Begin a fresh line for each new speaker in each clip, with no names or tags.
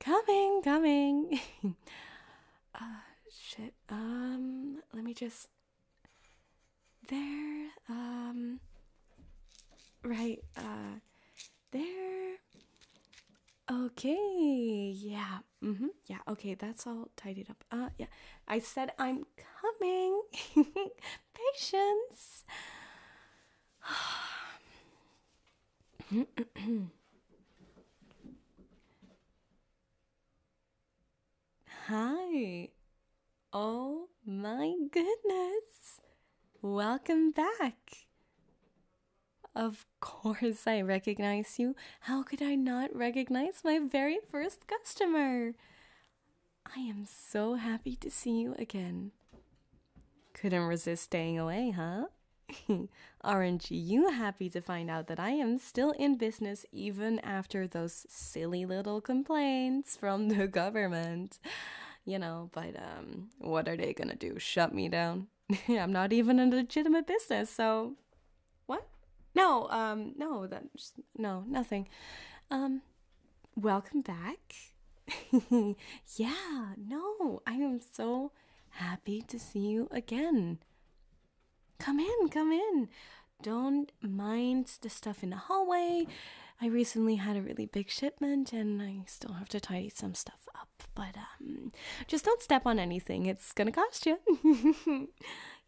Coming, coming. uh, shit. Um, let me just. There. Um. Right. Uh. There. Okay. Yeah. Mm-hmm. Yeah. Okay. That's all tidied up. Uh. Yeah. I said I'm coming. Patience. Hi. Oh my goodness. Welcome back. Of course, I recognize you. How could I not recognize my very first customer? I am so happy to see you again. Couldn't resist staying away, huh? Aren't you happy to find out that I am still in business even after those silly little complaints from the government? You know, but um, what are they gonna do? Shut me down? I'm not even a legitimate business, so what? No, um, no, that's no, nothing. Um, welcome back. yeah, no, I am so happy to see you again. Come in, come in. Don't mind the stuff in the hallway. I recently had a really big shipment and I still have to tidy some stuff up, but um, just don't step on anything. It's gonna cost you.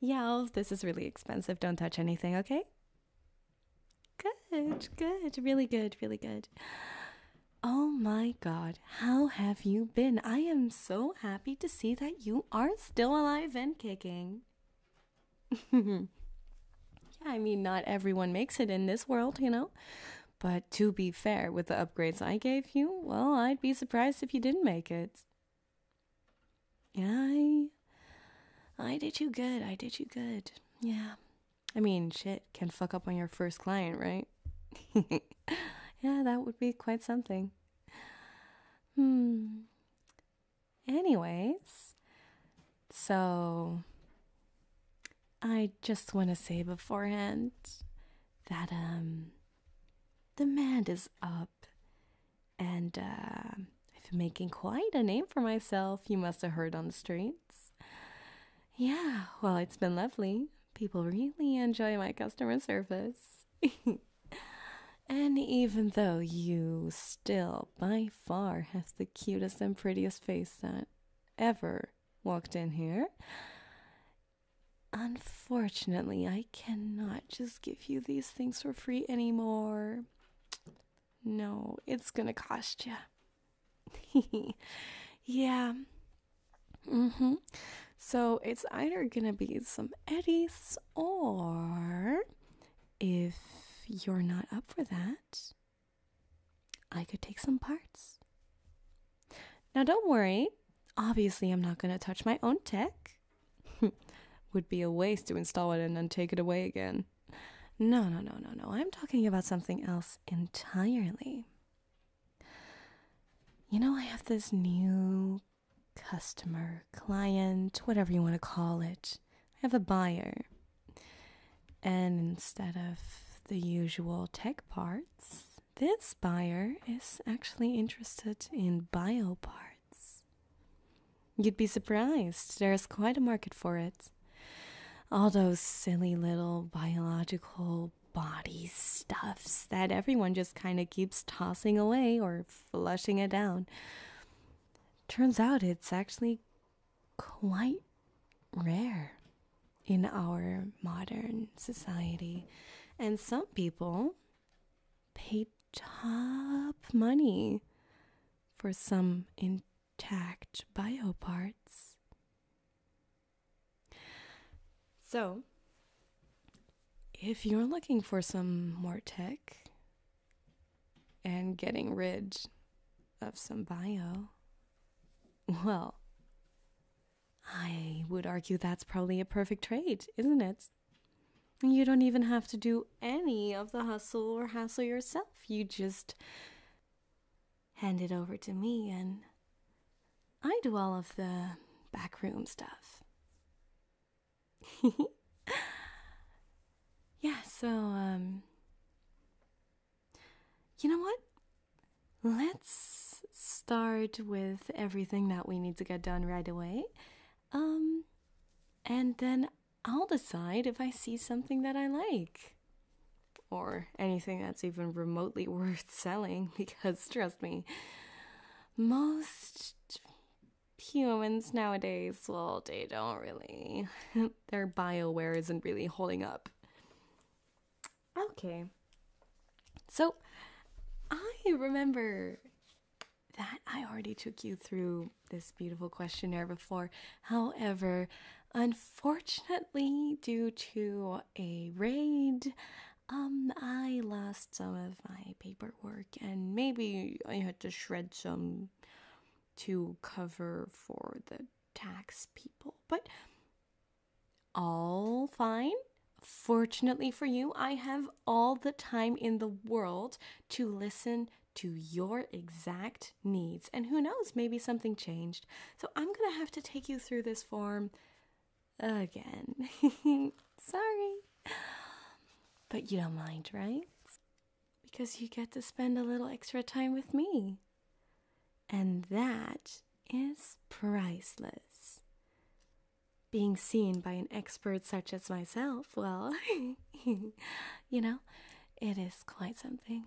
yeah, this is really expensive. Don't touch anything, okay? Good, good, really good, really good. Oh my god, how have you been? I am so happy to see that you are still alive and kicking. yeah, I mean, not everyone makes it in this world, you know? But to be fair, with the upgrades I gave you, well, I'd be surprised if you didn't make it. Yeah, I, I did you good. I did you good. Yeah. I mean, shit can fuck up on your first client, right? yeah, that would be quite something. Hmm. Anyways, so I just want to say beforehand that um demand is up and uh I've been making quite a name for myself. You must have heard on the street. Yeah, well, it's been lovely. People really enjoy my customer service. and even though you still, by far, have the cutest and prettiest face that ever walked in here, unfortunately, I cannot just give you these things for free anymore. No, it's gonna cost you. yeah. Mm-hmm. So it's either gonna be some eddies or if you're not up for that, I could take some parts. Now don't worry, obviously I'm not gonna touch my own tech. Would be a waste to install it and then take it away again. No, no, no, no, no. I'm talking about something else entirely. You know, I have this new customer, client, whatever you want to call it. I have a buyer. And instead of the usual tech parts, this buyer is actually interested in bio parts. You'd be surprised, there's quite a market for it. All those silly little biological body stuffs that everyone just kind of keeps tossing away or flushing it down. Turns out it's actually quite rare in our modern society, and some people pay top money for some intact bio parts. So, if you're looking for some more tech and getting rid of some bio, well, I would argue that's probably a perfect trade, isn't it? You don't even have to do any of the hustle or hassle yourself. You just hand it over to me, and I do all of the backroom stuff. yeah, so, um, you know what? Let's start with everything that we need to get done right away. Um, and then I'll decide if I see something that I like or anything that's even remotely worth selling because trust me most humans nowadays well they don't really their bio bioware isn't really holding up okay so i remember that i already took you through this beautiful questionnaire before however unfortunately due to a raid. Um, I lost some of my paperwork, and maybe I had to shred some to cover for the tax people, but all fine. Fortunately for you, I have all the time in the world to listen to your exact needs. And who knows, maybe something changed. So I'm going to have to take you through this form again. Sorry. But you don't mind, right? Because you get to spend a little extra time with me. And that is priceless. Being seen by an expert such as myself, well, you know, it is quite something.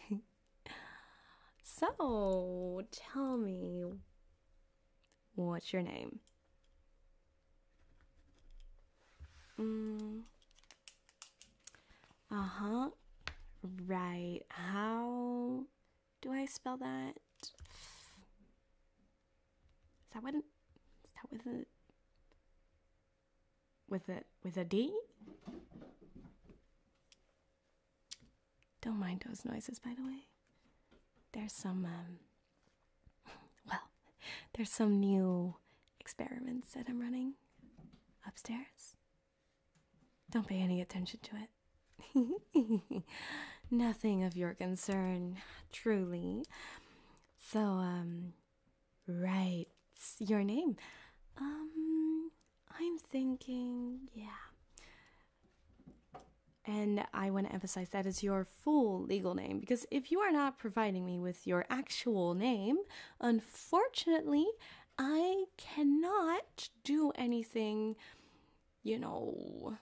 so, tell me, what's your name? Mm. Uh huh. Right. How do I spell that? Is that what? An, that with a with a with a D? Don't mind those noises, by the way. There's some, um, well, there's some new experiments that I'm running upstairs. Don't pay any attention to it. Nothing of your concern, truly. So, um, right, your name. Um, I'm thinking, yeah. And I want to emphasize that is your full legal name because if you are not providing me with your actual name, unfortunately, I cannot do anything, you know,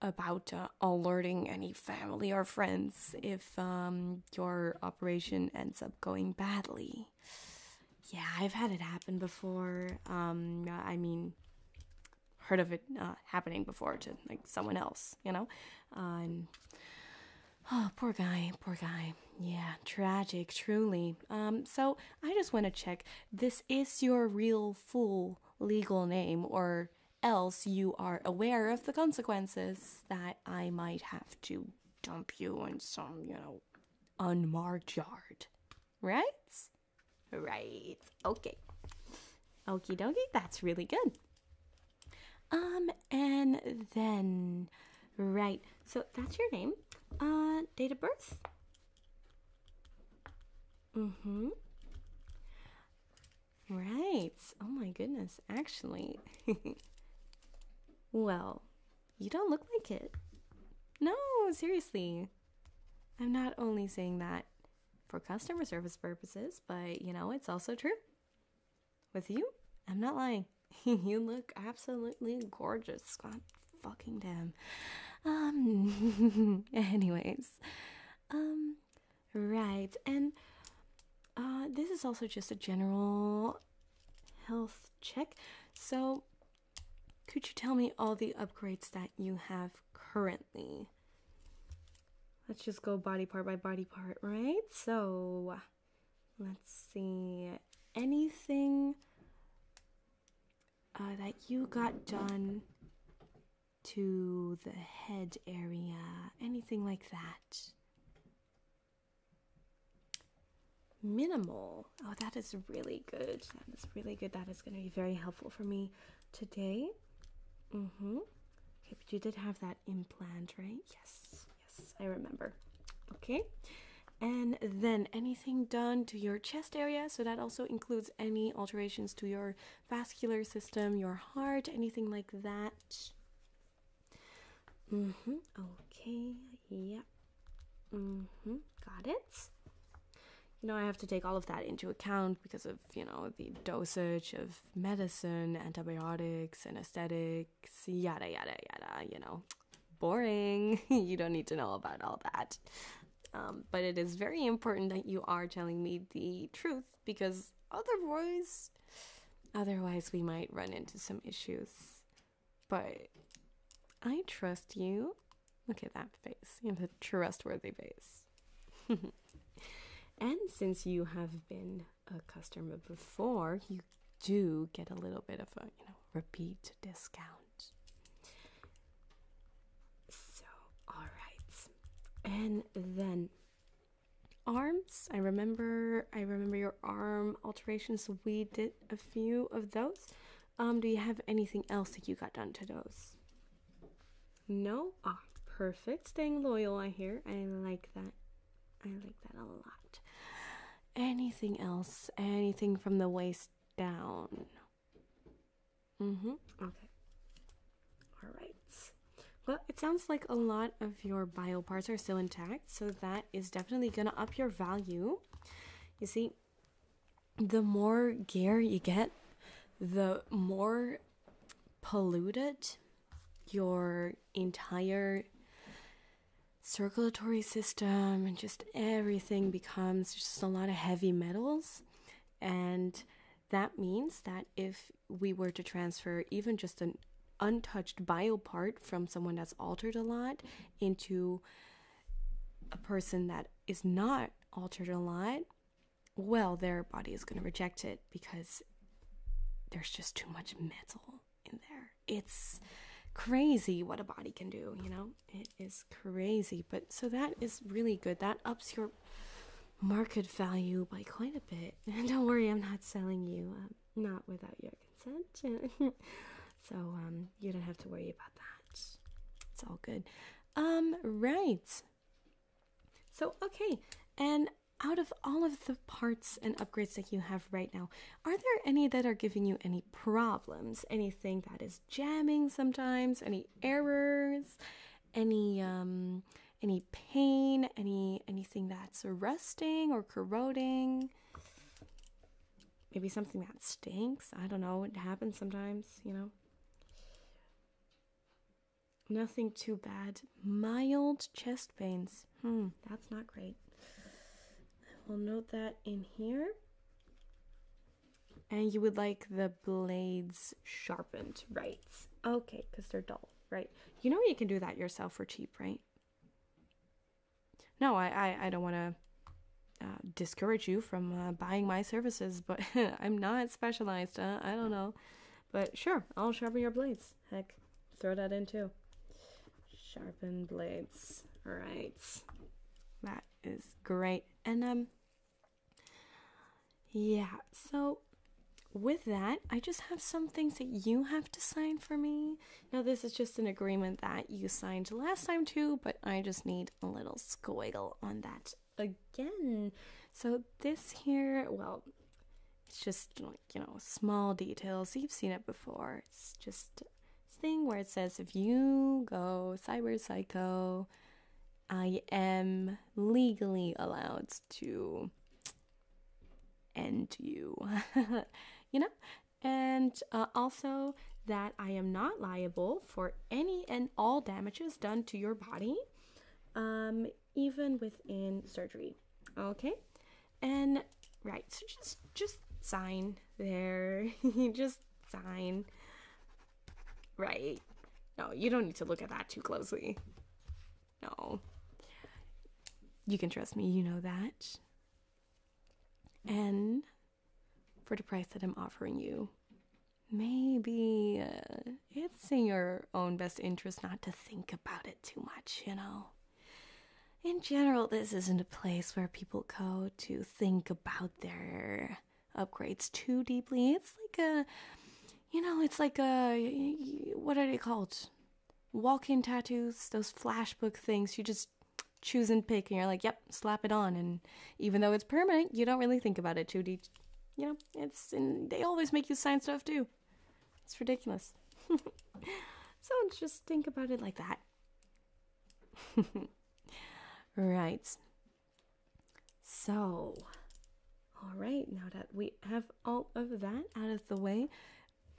about uh, alerting any family or friends if um, your operation ends up going badly. Yeah, I've had it happen before. Um, I mean, heard of it uh, happening before to like someone else, you know. and um, oh, poor guy, poor guy. Yeah, tragic, truly. Um, so I just want to check. This is your real full legal name, or else you are aware of the consequences that I might have to dump you in some, you know, unmarked yard. Right? Right. Okay. okey dokie. That's really good. Um, and then, right. So that's your name. Uh, date of birth? Mm hmm. Right. Oh my goodness. Actually, well, you don't look like it. No, seriously. I'm not only saying that for customer service purposes, but you know, it's also true. With you, I'm not lying. you look absolutely gorgeous. God fucking damn. Um anyways. Um right. And uh this is also just a general health check. So could you tell me all the upgrades that you have currently? Let's just go body part by body part, right? So let's see. Anything uh, that you got done to the head area, anything like that? minimal. Oh, that is really good. That is really good. That is going to be very helpful for me today. Mm hmm. Okay, but you did have that implant, right? Yes, yes, I remember. Okay. And then anything done to your chest area. So that also includes any alterations to your vascular system, your heart, anything like that. Mm hmm. Okay. Yeah. Mm-hmm. Got it. You know, I have to take all of that into account because of, you know, the dosage of medicine, antibiotics, anesthetics, yada, yada, yada, you know. Boring. you don't need to know about all that. Um, but it is very important that you are telling me the truth because otherwise, otherwise we might run into some issues. But I trust you. Look at that face. You have a trustworthy face. and since you have been a customer before, you do get a little bit of a, you know, repeat discount. So, all right. And then arms. I remember I remember your arm alterations. We did a few of those. Um, do you have anything else that you got done to those? No? Ah, perfect. Staying loyal, I hear. I like that. I like that a lot. Anything else? Anything from the waist down? Mm-hmm. Okay. All right. Well, it sounds like a lot of your bio parts are still intact, so that is definitely gonna up your value. You see, the more gear you get, the more polluted your entire circulatory system and just everything becomes just a lot of heavy metals. And that means that if we were to transfer even just an untouched bio part from someone that's altered a lot into a person that is not altered a lot, well, their body is going to reject it because there's just too much metal in there. It's crazy what a body can do, you know? It is crazy. But so that is really good. That ups your market value by quite a bit. And don't worry, I'm not selling you, um, not without your consent. so um you don't have to worry about that it's all good um right so okay and out of all of the parts and upgrades that you have right now are there any that are giving you any problems anything that is jamming sometimes any errors any um any pain any anything that's rusting or corroding maybe something that stinks. I don't know. It happens sometimes, you know. Nothing too bad. Mild chest pains. Hmm, that's not great. we will note that in here. And you would like the blades sharpened, right? Okay, because they're dull, right? You know you can do that yourself for cheap, right? no, I, I, don't want to uh, discourage you from uh, buying my services, but I'm not specialized. Uh, I don't know. But sure, I'll sharpen your blades. Heck, throw that in too. Sharpen blades. All right. That is great. And, um, yeah, so with that, I just have some things that you have to sign for me. Now, this is just an agreement that you signed last time too, but I just need a little squiggle on that again. So this here, well, it's just like, you know, small details. You've seen it before. It's just this thing where it says if you go cyber psycho, I am legally allowed to end you. you know? And uh, also that I am not liable for any and all damages done to your body, um, even within surgery. Okay, and right, so just just sign there. just sign. Right. No, you don't need to look at that too closely. No. You can trust me, you know that. And for the price that I'm offering you. Maybe uh, it's in your own best interest not to think about it too much, you know? In general, this isn't a place where people go to think about their upgrades too deeply. It's like a, you know, it's like a, what are they called? Walk in tattoos, those flashbook things. You just choose and pick, and you're like, yep, slap it on. And even though it's permanent, you don't really think about it too deep. You know, it's and they always make you sign stuff too. It's ridiculous. so just think about it like that. right. So, all right, now that we have all of that out of the way,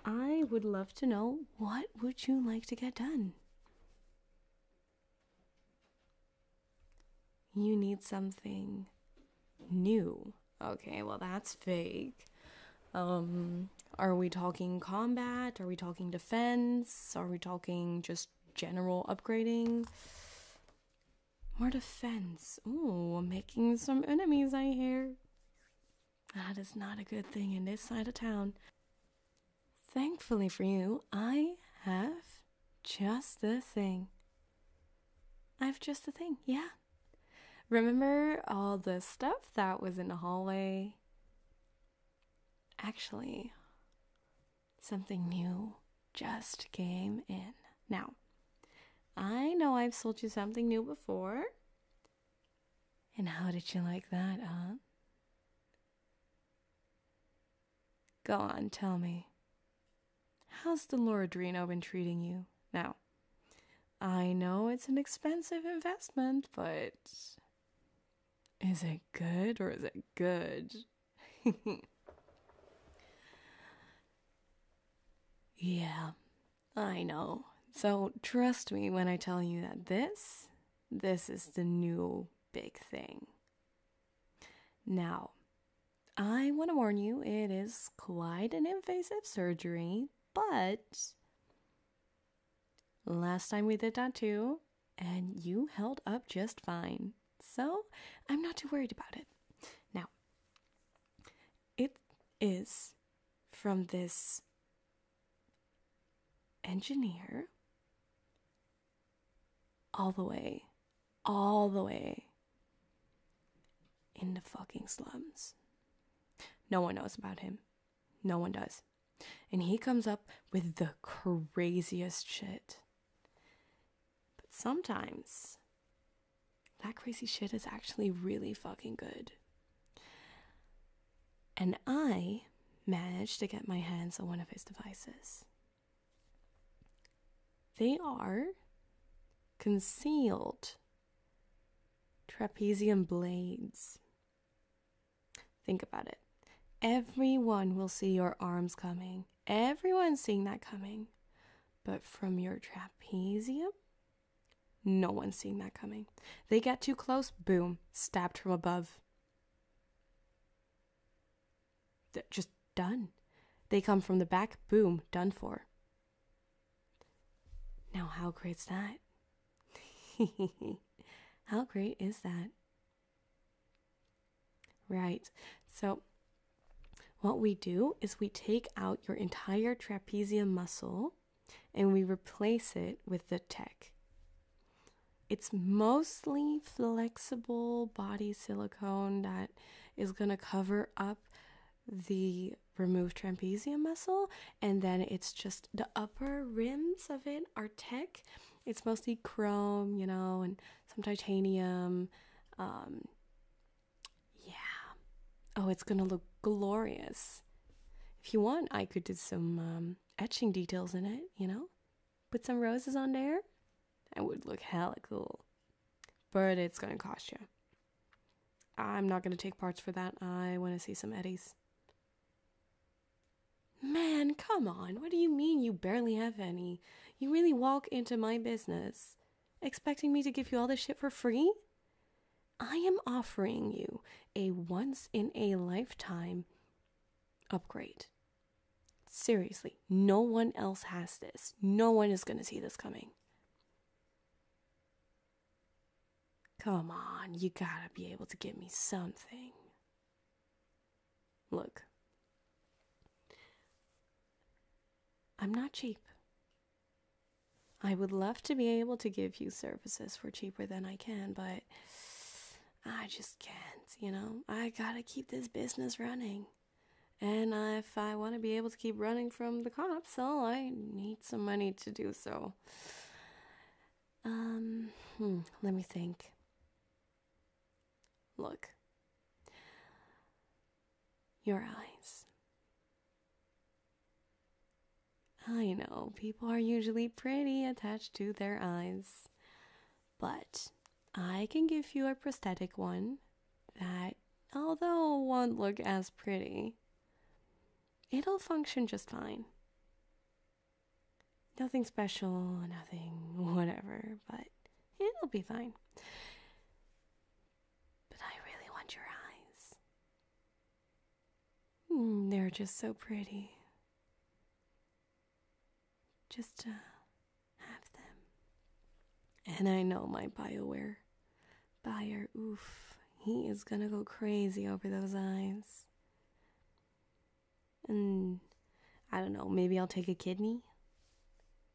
I would love to know what would you like to get done? You need something new. Okay, well, that's fake. Um, are we talking combat? Are we talking defense? Are we talking just general upgrading? More defense. Ooh, making some enemies, I hear. That is not a good thing in this side of town. Thankfully for you, I have just the thing. I've just the thing, yeah. Remember all the stuff that was in the hallway? Actually, something new just came in. Now, I know I've sold you something new before. And how did you like that, huh? Go on, tell me. How's the Loradrino been treating you now? I know it's an expensive investment, but is it good or is it good? yeah, I know. So trust me when I tell you that this, this is the new big thing. Now, I want to warn you, it is quite an invasive surgery, but last time we did that too, and you held up just fine. So, I'm not too worried about it. Now, it is from this engineer all the way, all the way in the fucking slums. No one knows about him. No one does. And he comes up with the craziest shit. But sometimes that crazy shit is actually really fucking good. And I managed to get my hands on one of his devices. They are concealed trapezium blades. Think about it. Everyone will see your arms coming. Everyone's seeing that coming. But from your trapezium, no one's seeing that coming. They get too close, boom, stabbed from above. They're just done. They come from the back, boom, done for. Now, how great's that? how great is that? Right. So, what we do is we take out your entire trapezium muscle and we replace it with the tech. It's mostly flexible body silicone that is going to cover up the removed trapezium muscle, and then it's just the upper rims of it are tech. It's mostly chrome, you know, and some titanium. Um, yeah. Oh, it's gonna look glorious. If you want, I could do some um, etching details in it, you know? put some roses on there, it would look hella cool. But it's gonna cost you. I'm not gonna take parts for that. I wanna see some eddies. Man, come on. What do you mean you barely have any? You really walk into my business expecting me to give you all this shit for free? I am offering you a once in a lifetime upgrade. Seriously, no one else has this. No one is going to see this coming. Come on, you gotta be able to give me something. Look, I'm not cheap. I would love to be able to give you services for cheaper than I can, but I just can't, you know. I gotta keep this business running. And if I want to be able to keep running from the cops, oh, I need some money to do so. Um, hmm, let me think. Look. Your eyes. I know, people are usually pretty attached to their eyes. But I can give you a prosthetic one that, although won't look as pretty, it'll function just fine. Nothing special, nothing whatever, but it'll be fine.
But I really want your eyes.
Hmm, they're just so pretty just to have them. And I know my BioWare buyer, oof, he is gonna go crazy over those eyes. And I don't know, maybe I'll take a kidney.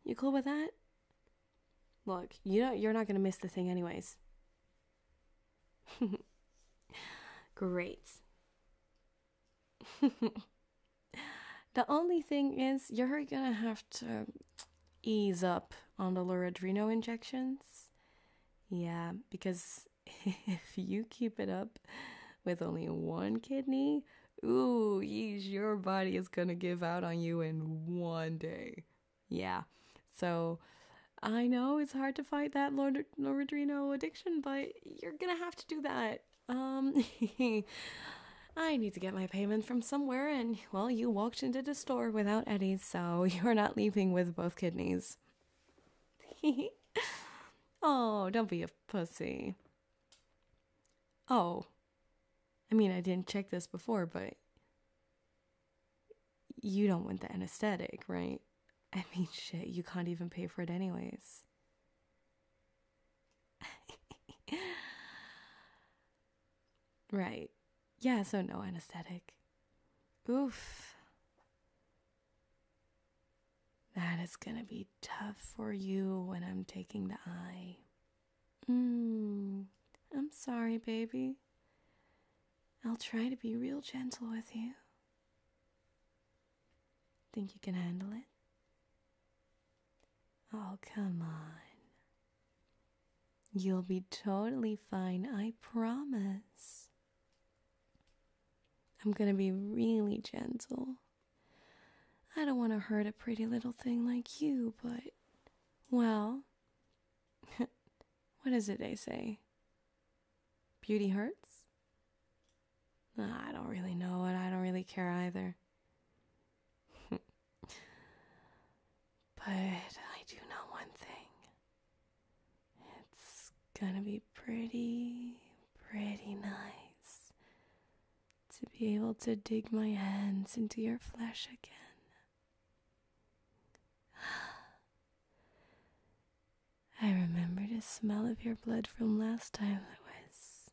You cool with that? Look, you you're not gonna miss the thing anyways. Great. the only thing is, you're gonna have to ease up on the loradrino injections. Yeah, because if you keep it up with only one kidney, ooh, your body is gonna give out on you in one day. Yeah, so I know it's hard to fight that loradrino addiction, but you're gonna have to do that. Um, I need to get my payment from somewhere, and well, you walked into the store without Eddie, so you're not leaving with both kidneys. oh, don't be a pussy. Oh, I mean, I didn't check this before, but you don't want the anesthetic, right? I mean, shit, you can't even pay for it anyways. right. Yeah, so no anesthetic. Oof. That is going to be tough for you when I'm taking the eye. Mm, I'm sorry, baby. I'll try to be real
gentle with you.
Think you can handle it? Oh, come on. You'll be totally fine, I promise. I'm gonna be really gentle. I don't wanna hurt a pretty little thing like you, but, well, what is it they say? Beauty hurts? I don't really know, and I don't really care either. but I
do know one thing it's
gonna be pretty, pretty nice to be able to dig my hands into your flesh again.
I remember
the smell of your blood from last time, Lewis.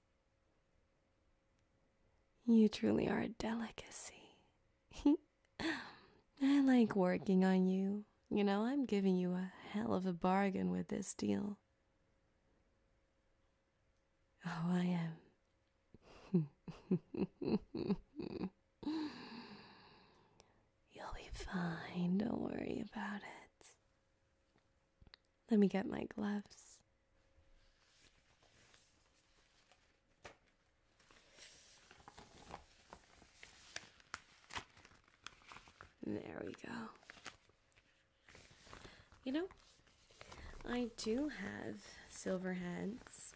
You truly are a delicacy. I like working on you. You know, I'm giving you a hell of a bargain with this deal.
Oh, I am.
You'll be fine. Don't worry
about it.
Let me get my gloves.
There we go.
You know, I do have silver heads.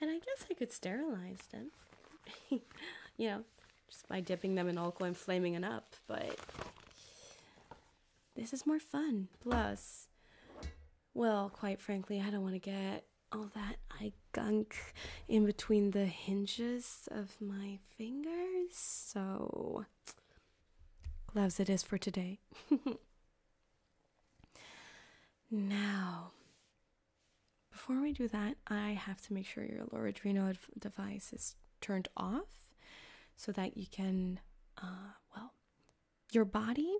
And I guess I could sterilize them. you know, just by dipping them in alcohol and flaming them up, but this is more fun. Plus, well, quite frankly, I don't want to get all that eye gunk in between the hinges of my fingers, so gloves it is for today. now, before we do that, I have to make sure your Loredrino device is turned off so that you can, uh, well, your body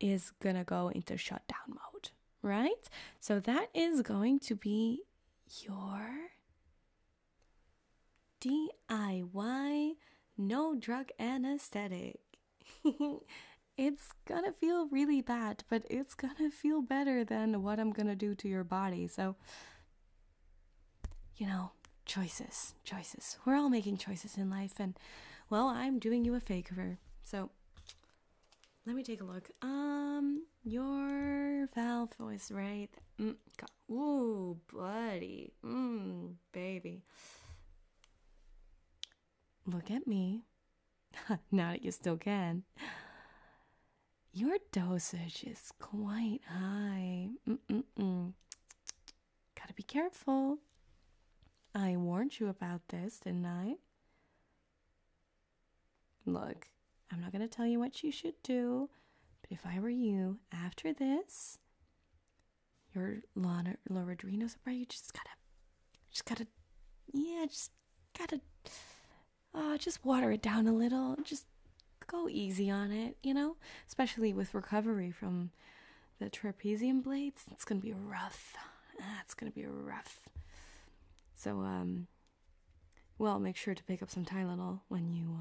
is going to go into shutdown mode, right? So that is going to be your DIY no drug anesthetic. it's gonna feel really bad, but it's gonna feel better than what I'm gonna do to your body. So you know, choices, choices. We're all making choices in life, and well, I'm doing you a favor. So let me take a look. Um, your valve voice, right. Mm, ooh, buddy. Mm, baby. Look at me. now that you still can. Your dosage is quite high. Gotta be careful. I warned you about this, didn't I? Look, I'm not gonna tell you what you should do, but if I were you, after this, your Lana Loredrino's right, you just gotta just gotta yeah, just gotta uh, just water it down a little. Just go easy on it, you know? Especially with recovery from the trapezium blades. It's going to be rough. Ah, it's going to be rough. So, um, well, make sure to pick up some Tylenol when you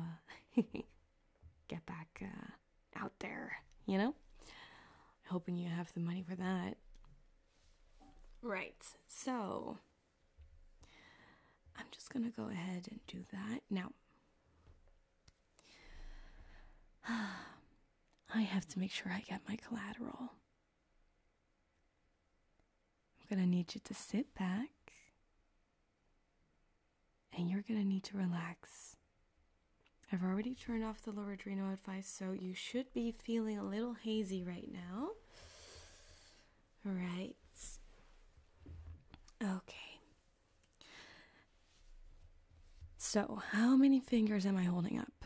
uh, get back uh, out there, you know? Hoping you have the money for that. Right, so I'm just gonna go ahead and do that. Now, I have to make sure I get my collateral. I'm going to need you to sit back and you're going to need to relax. I've already turned off the lower adrenal advice, so you should be feeling a little hazy right now. All right. Okay. So, how many fingers am I holding up?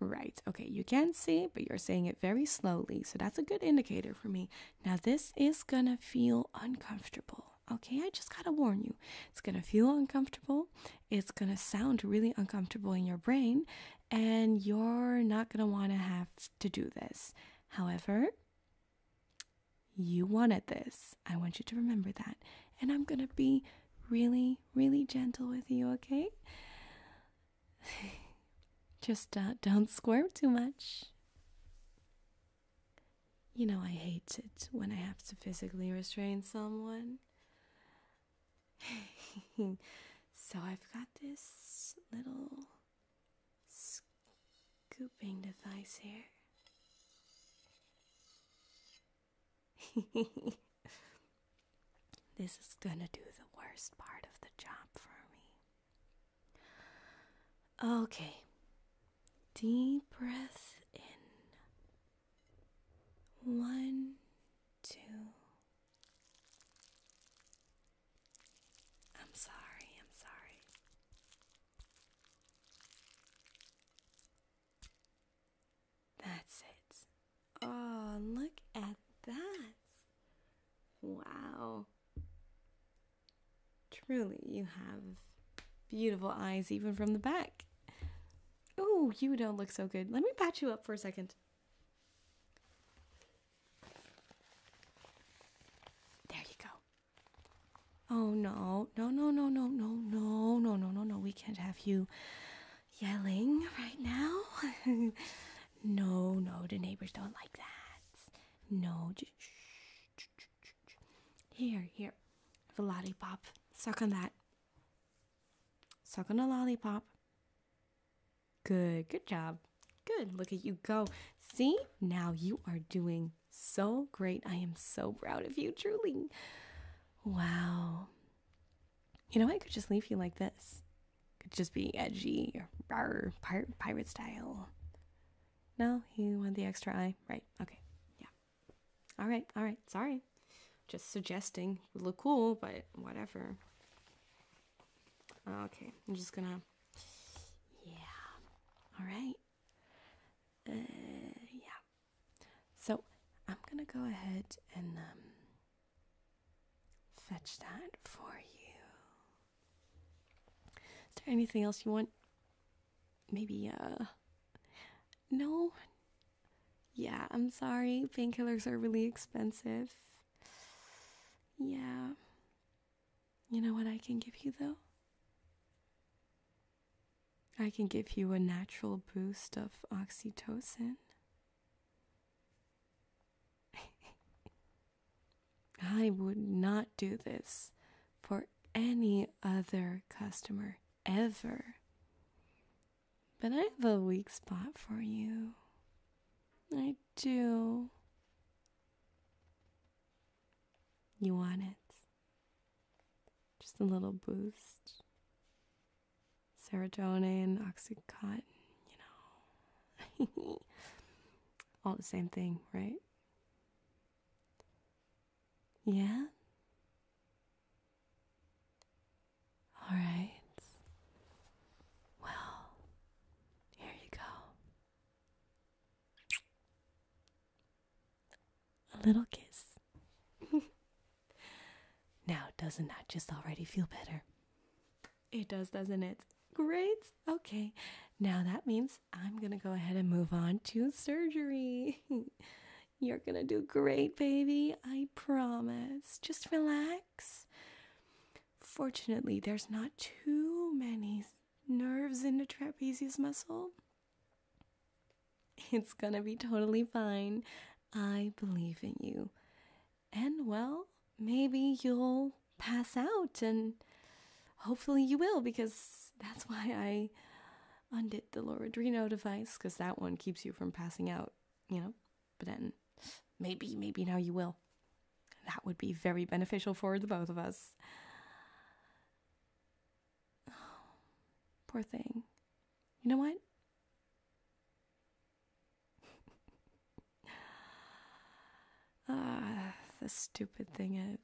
Right, okay, you can see, but you're saying it very slowly, so that's a good indicator for me. Now, this is gonna feel uncomfortable, okay? I just gotta warn you. It's gonna feel uncomfortable, it's gonna sound really uncomfortable in your brain, and you're not gonna wanna have to do this. However, you wanted this. I want you to remember that. And I'm going to be really, really gentle with you, okay? Just uh, don't squirm too much. You know, I hate it when I have to physically restrain someone. so I've got this little scooping device here.
this is gonna do the worst part of the job for me.
Okay, deep breath in. One, two,
I'm sorry, I'm sorry. That's it.
Oh, look at that. Wow. Truly, you have beautiful eyes even from the back. Oh, you don't look so good. Let me patch you up for a second. There you go. Oh no, no, no, no, no, no, no, no, no, no, no. We can't have you yelling right now. no, no, the neighbors don't like that. No, just shh, shh, shh, here, here. The lollipop. Suck on that. Suck on the lollipop. Good, good job. Good. Look at you go. See? Now you are doing so great. I am so proud of you, truly. Wow. You know, I could just leave you like this. Could just be edgy, rawr, pirate, pirate style. No, you want the extra eye? Right. Okay. Yeah. All right. All right. Sorry. Just suggesting. Would look cool, but whatever. Okay. I'm just gonna yeah. All right. Uh, yeah. So I'm going to go ahead and um, fetch that for you. Is there anything else you want? Maybe, uh, no? Yeah, I'm sorry. Painkillers are really expensive. Yeah. You know what I can give you though? I can give you a natural boost of oxytocin. I would not do this for any other customer ever. But I have a weak spot for you. I do. You want it. Just a little boost. Serotonin, Oxycontin, you know. All the same thing, right? Yeah?
All right. Well, here you go. A little kiss.
now, doesn't that just
already feel better?
It does, doesn't it? Great. Okay. Now that means I'm going to go ahead and move on to surgery. You're going to do great, baby. I promise. Just relax. Fortunately, there's not too many nerves in the trapezius muscle. It's gonna be totally fine. I believe in you. And well, maybe you'll pass out, and hopefully you will, because that's why I undid the Loredrino device, because that one keeps you from passing out, you know? But then maybe, maybe now you will. That would be very beneficial for the both of us. poor thing. You know what? ah, the stupid thing is.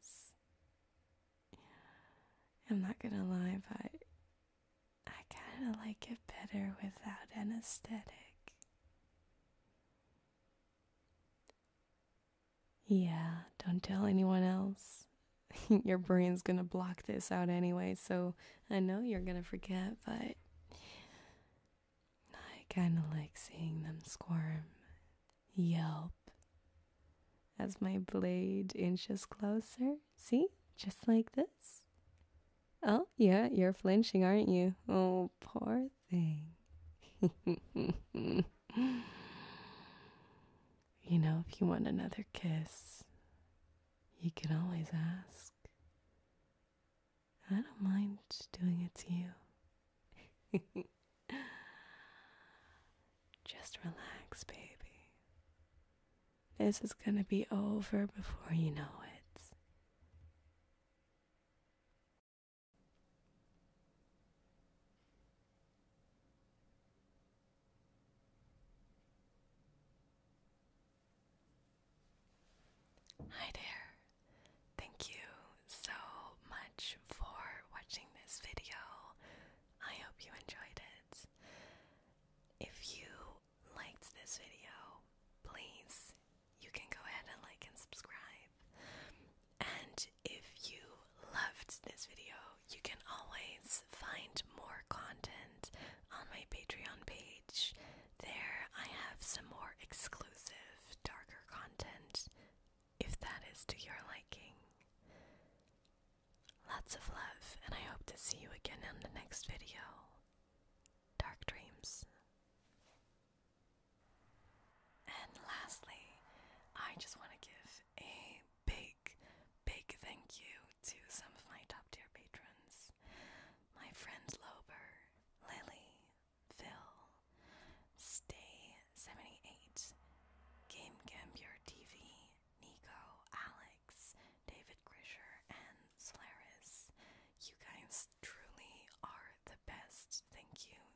I'm not gonna lie, but I kinda like it better without anesthetic. Yeah, don't tell anyone else. Your brain's gonna block this out anyway, so I know you're gonna forget, but I kinda like seeing them squirm, yelp, as my blade inches closer. See? Just like this. Oh, yeah, you're flinching, aren't you? Oh, poor thing. you know, if you want another kiss, you can always ask.
I don't mind doing it to you. Just relax, baby.
This is gonna be over before you
know it. Hi there! Thank you so much for watching this video. I hope you enjoyed it. If you liked this video, please you can go ahead and like and subscribe. And if you loved this video, you can always find more content on my Patreon page. There, I have some more exclusive, darker content if that is to your liking. Lots of love, and I hope to see you again in the next video. Dark dreams. And lastly, I just want to give a big, big thank you to some of my top tier patrons. My friend Lober, Lily, Phil, Stay78, Game Gambier TV, Nico, Alex, David Grisher, and Solaris. You guys truly are the best. Thank you